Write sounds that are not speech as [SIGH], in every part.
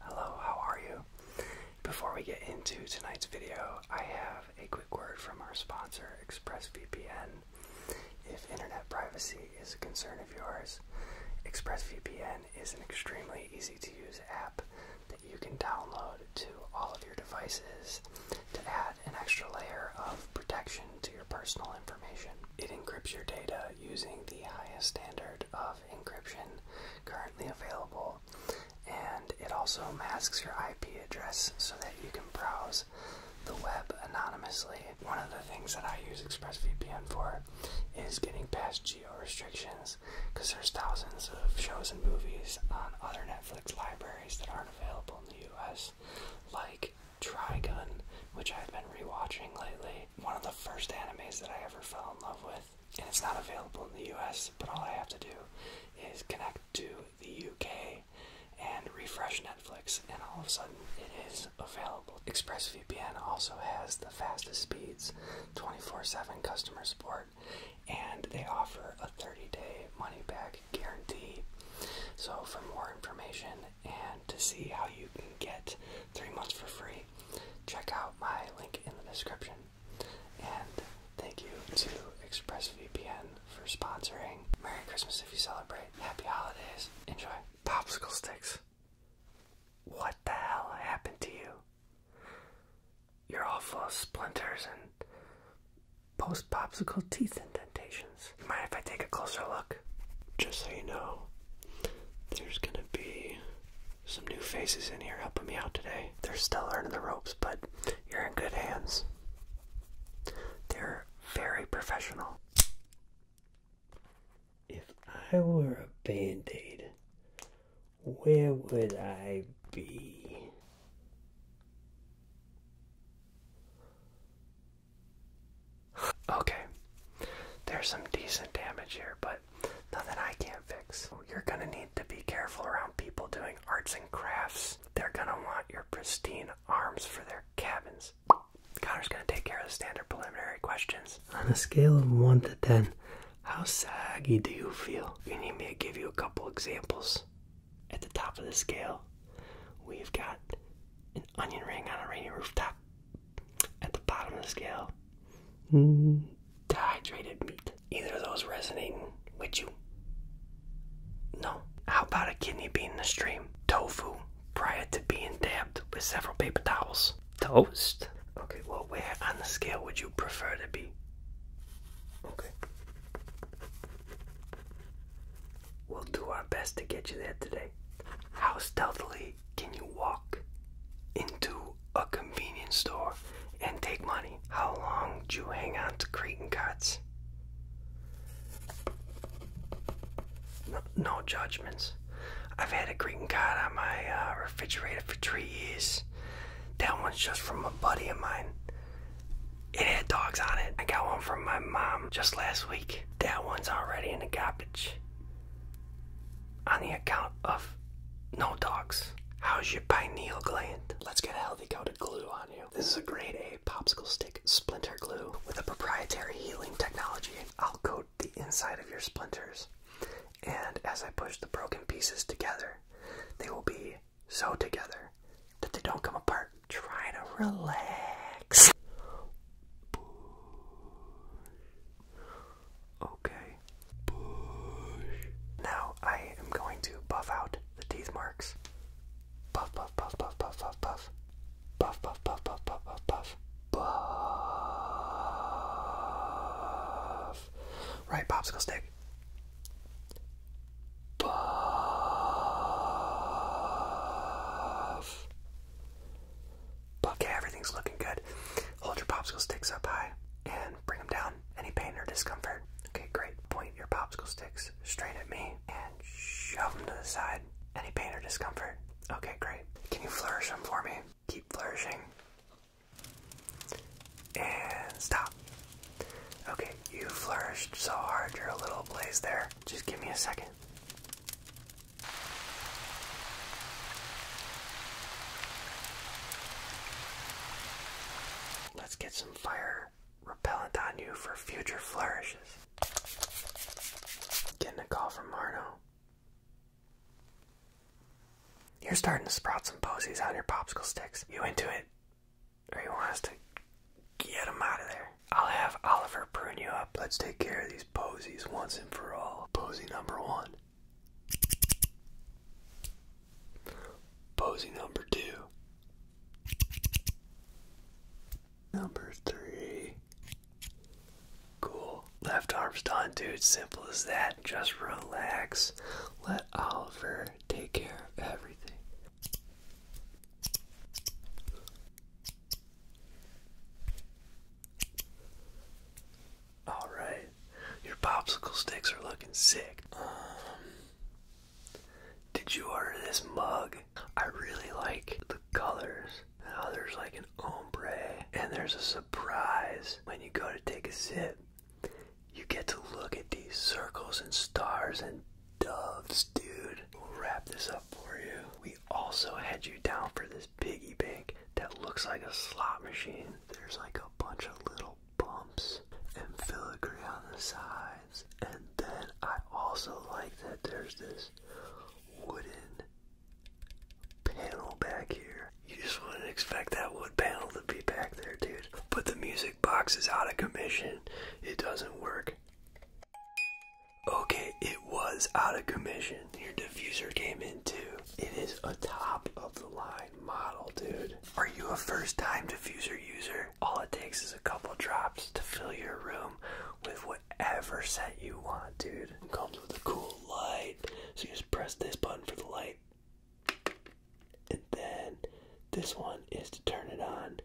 Hello, how are you? Before we get into tonight's video, I have a quick word from our sponsor, ExpressVPN. If internet privacy is a concern of yours, ExpressVPN is an extremely easy to use app that you can download to all of your devices to add an extra layer of protection to your personal information. It encrypts your data using the highest standard of encryption currently available, and it also masks your IP address so that you can browse the web anonymously. One of the things that I use ExpressVPN for is getting past geo restrictions because there's thousands of shows and movies on other Netflix libraries that aren't available in the US, like Trigun, which I've been rewatching lately. One of the first animes that I ever fell in love with and it's not available in the US, but all I have to do is connect to the UK and refresh Netflix, and all of a sudden it is available. ExpressVPN also has the fastest speeds, 24 7 customer support, and they offer a 30 day money back guarantee. So, for more information and to see how you can get three months for free, check out my link in the description. And thank you to ExpressVPN for sponsoring. Merry Christmas if you celebrate. Happy holidays. Enjoy. Popsicle sticks. What the hell happened to you? You're all full of splinters and post popsicle teeth indentations. Mind if I take a closer look? Just so you know, there's gonna be some new faces in here helping me out today. They're still learning the ropes, but you're in good hands. They're very professional. If I were a bandaid, where would I be? Okay, there's some decent damage here, but nothing I can't fix. You're gonna need to be careful around people doing arts and crafts. They're gonna want your pristine arms for their cabins. Connor's gonna take care of the standard preliminary questions. On a scale of 1 to 10, how saggy do you feel? You need me to give you a couple examples. At the top of the scale, we've got an onion ring on a rainy rooftop at the bottom of the scale, mm, dehydrated meat. Either of those resonating with you? No. How about a kidney bean in the stream? Tofu prior to being dabbed with several paper towels. Toast? Okay, well, where on the scale would you prefer to be? Okay. We'll do our best to get you there today. How stealthily can you walk into a convenience store and take money? How long do you hang on to greeting cards? No, judgments. I've had a greeting card on my uh, refrigerator for three years. That one's just from a buddy of mine. It had dogs on it. I got one from my mom just last week. That one's already in the garbage on the account of no dogs. How's your pineal gland? Let's get a healthy coat of glue on you. This is a grade A popsicle stick splinter glue with a proprietary healing technology. I'll coat the inside of your splinters, and as I push the broken pieces together, they will be so together that they don't come apart. Try to relax. Okay. Now I am going to buff out the teeth marks. Puff, puff, puff, puff, puff, puff, puff. Puff, puff, puff, puff, puff, puff, puff. Right, popsicle stick. Puff. Okay, everything's looking good. Hold your popsicle sticks up high and bring them down. Any pain or discomfort? Okay, great. Point your popsicle sticks straight at me and shove them to the side. Any pain or discomfort? Okay, great. Can you flourish them for me? Keep flourishing. And stop. Okay, you flourished so hard you're a little ablaze there. Just give me a second. Let's get some fire repellent on you for future flourishes. Getting a call from Marno. You're starting to sprout some posies on your popsicle sticks. You into it? Or you want us to get them out of there? I'll have Oliver prune you up. Let's take care of these posies once and for all. Posy number one. Posy number two. Number three. Cool. Left arm's done, dude. Simple as that. Just relax. Let Oliver take care of everything. All right, your popsicle sticks are looking sick. Um, did you order this mug? I really like the colors. there's like an ombre, and there's a surprise when you go to take a sip. You get to look at these circles and stars and doves, dude. We'll wrap this up for you. We also had you down for this piggy bank that looks like a slot machine. There's like a bunch of little bumps and filigree on the sides. And then I also like that there's this wooden panel back here. You just wouldn't expect that wood panel to be back there, dude. But the music box is out of commission. It doesn't work. Okay, it was out of commission. Your diffuser came in too. It is a top of the line model, dude. Are you a first time diffuser user? All it takes is a couple drops to fill your room with whatever scent you want, dude. It comes with a cool light. So you just press this button for the light. And then this one is to turn it on.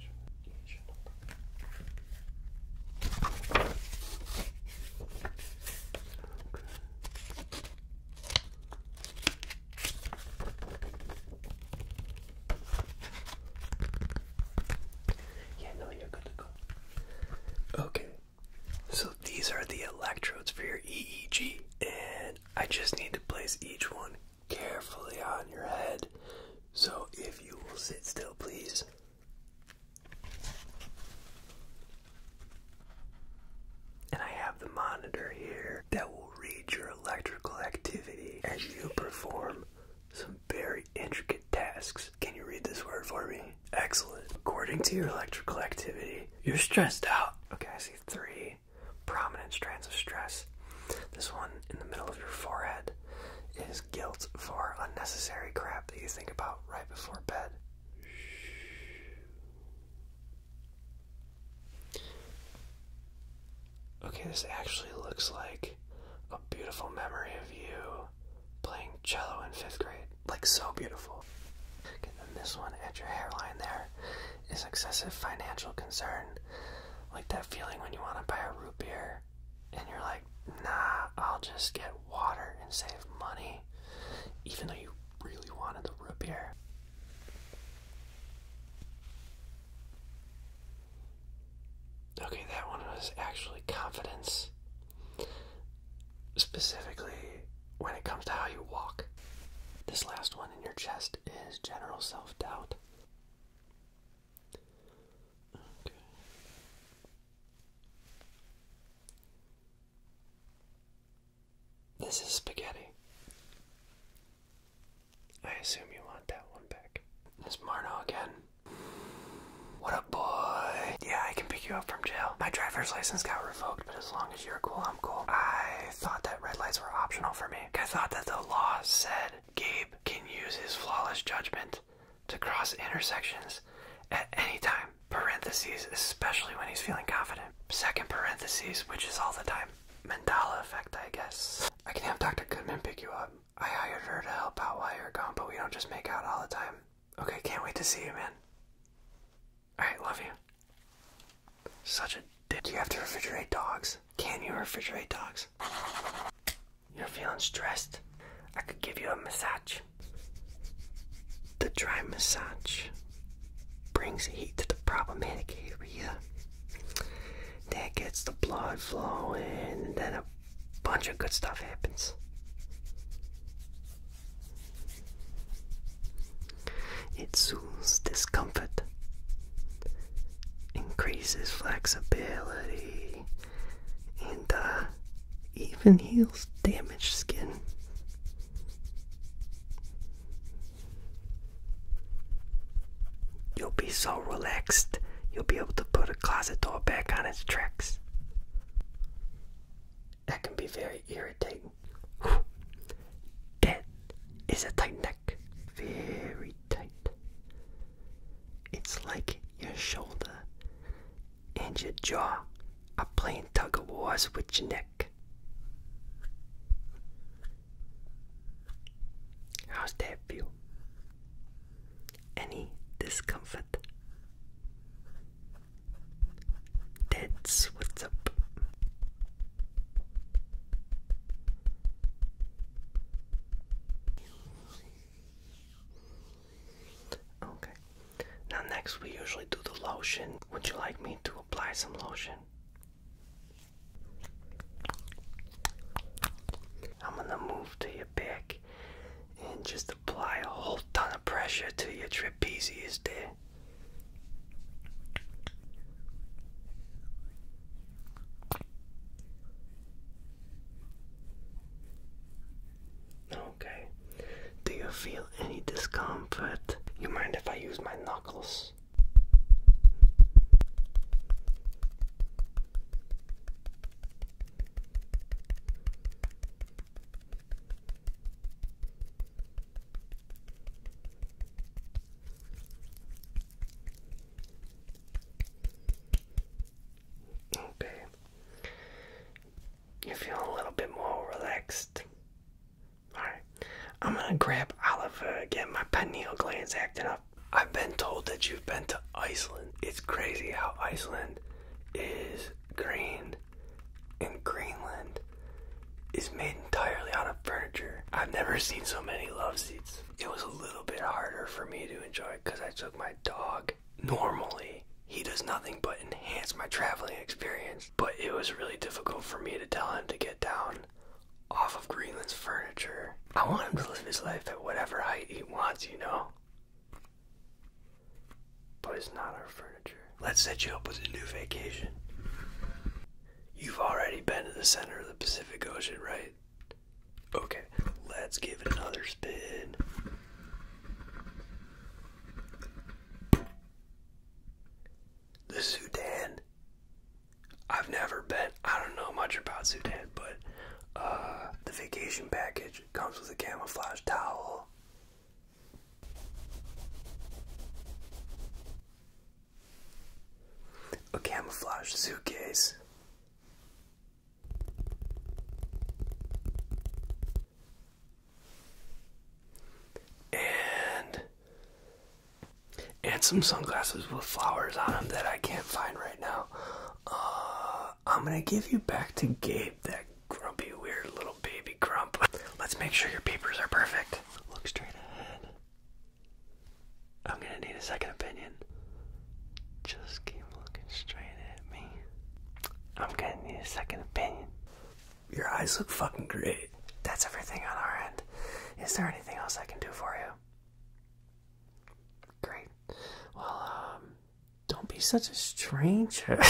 Yeah, no, you're good to go. Okay, so these are the electrodes for your EEG, and I just need to place each one carefully on your head. So if you will sit still, please. And I have the monitor here that will read your electrical activity as you perform some very intricate tasks. Can you read this word for me? Excellent. According to your electrical activity, you're stressed out. Okay, I see three prominent strands of stress. This one in the middle of your forehead is guilt for unnecessary crap that you think about right before bed. Okay, this actually looks like a beautiful memory of you playing cello in fifth grade. Like, so beautiful. And then this one at your hairline there is excessive financial concern. Like that feeling when you want to buy a root beer and you're like, nah, I'll just get water and save money, even though you really wanted the root beer. Okay, that one was actually confidence. Specifically, when it comes to how you walk. This last one in your chest is general self doubt. This is spaghetti. I assume you want that one back. It's Marno again. What a boy? Yeah, I can pick you up from jail. My driver's license got revoked, but as long as you're cool, I'm cool. I I thought that red lights were optional for me. I thought that the law said Gabe can use his flawless judgment to cross intersections at any time. Parentheses, especially when he's feeling confident. Second parentheses, which is all the time. Mandala effect, I guess. I can have Dr. Goodman pick you up. I hired her to help out while you're gone, but we don't just make out all the time. Okay, can't wait to see you, man. I love you. Such a dick. Do you have to refrigerate dogs? Can you refrigerate dogs? You're feeling stressed? I could give you a massage. The dry massage brings heat to the problematic area. That gets the blood flowing, and then a bunch of good stuff happens. It soothes discomfort, increases flexibility, and uh, even heals damaged skin. You'll be so relaxed, you'll be able to put a closet door back on its tracks. That can be very irritating. That is a tight neck, very tight. It's like your shoulder and your jaw are playing tug of wars with your neck. How's that feel? Any discomfort? That's what's up. Okay. Now next we usually do the lotion. Would you like me to apply some lotion? I'm gonna move to your back and just apply a whole ton of pressure to your trapezius there. Okay. Do you feel any discomfort? You mind if I use my knuckles? Okay. You feel a little bit more relaxed. Alright. I'm gonna grab Oliver again. My pineal gland's acting up. I've been told that you've been to Iceland. It's crazy how Iceland is green in Greenland is made entirely out of furniture. I've never seen so many love seats. It was a little bit harder for me to enjoy because I took my dog. Normally, he does nothing but enhance my traveling experience, but it was really difficult for me to tell him to get down off of Greenland's furniture. I want him to live his life at whatever height he wants, you know? but it's not our furniture. Let's set you up with a new vacation. You've already been to the center of the Pacific Ocean, right? Okay, let's give it another spin. The Sudan. I've never been. I don't know much about Sudan, but uh, the vacation package comes with a camouflage towel, a camouflage suitcase. And and some sunglasses with flowers on them that I can't find right now. Uh, I'm gonna give you back to Gabe that grumpy, weird little baby grump. [LAUGHS] Let's make sure your papers are perfect. Look straight ahead. I'm gonna need a second opinion. Just keep looking straight at me. I'm gonna need a second opinion. Your eyes look fucking great. That's everything on our end. Is there anything else I can do for you? Great. Well, um, don't be such a stranger. [LAUGHS]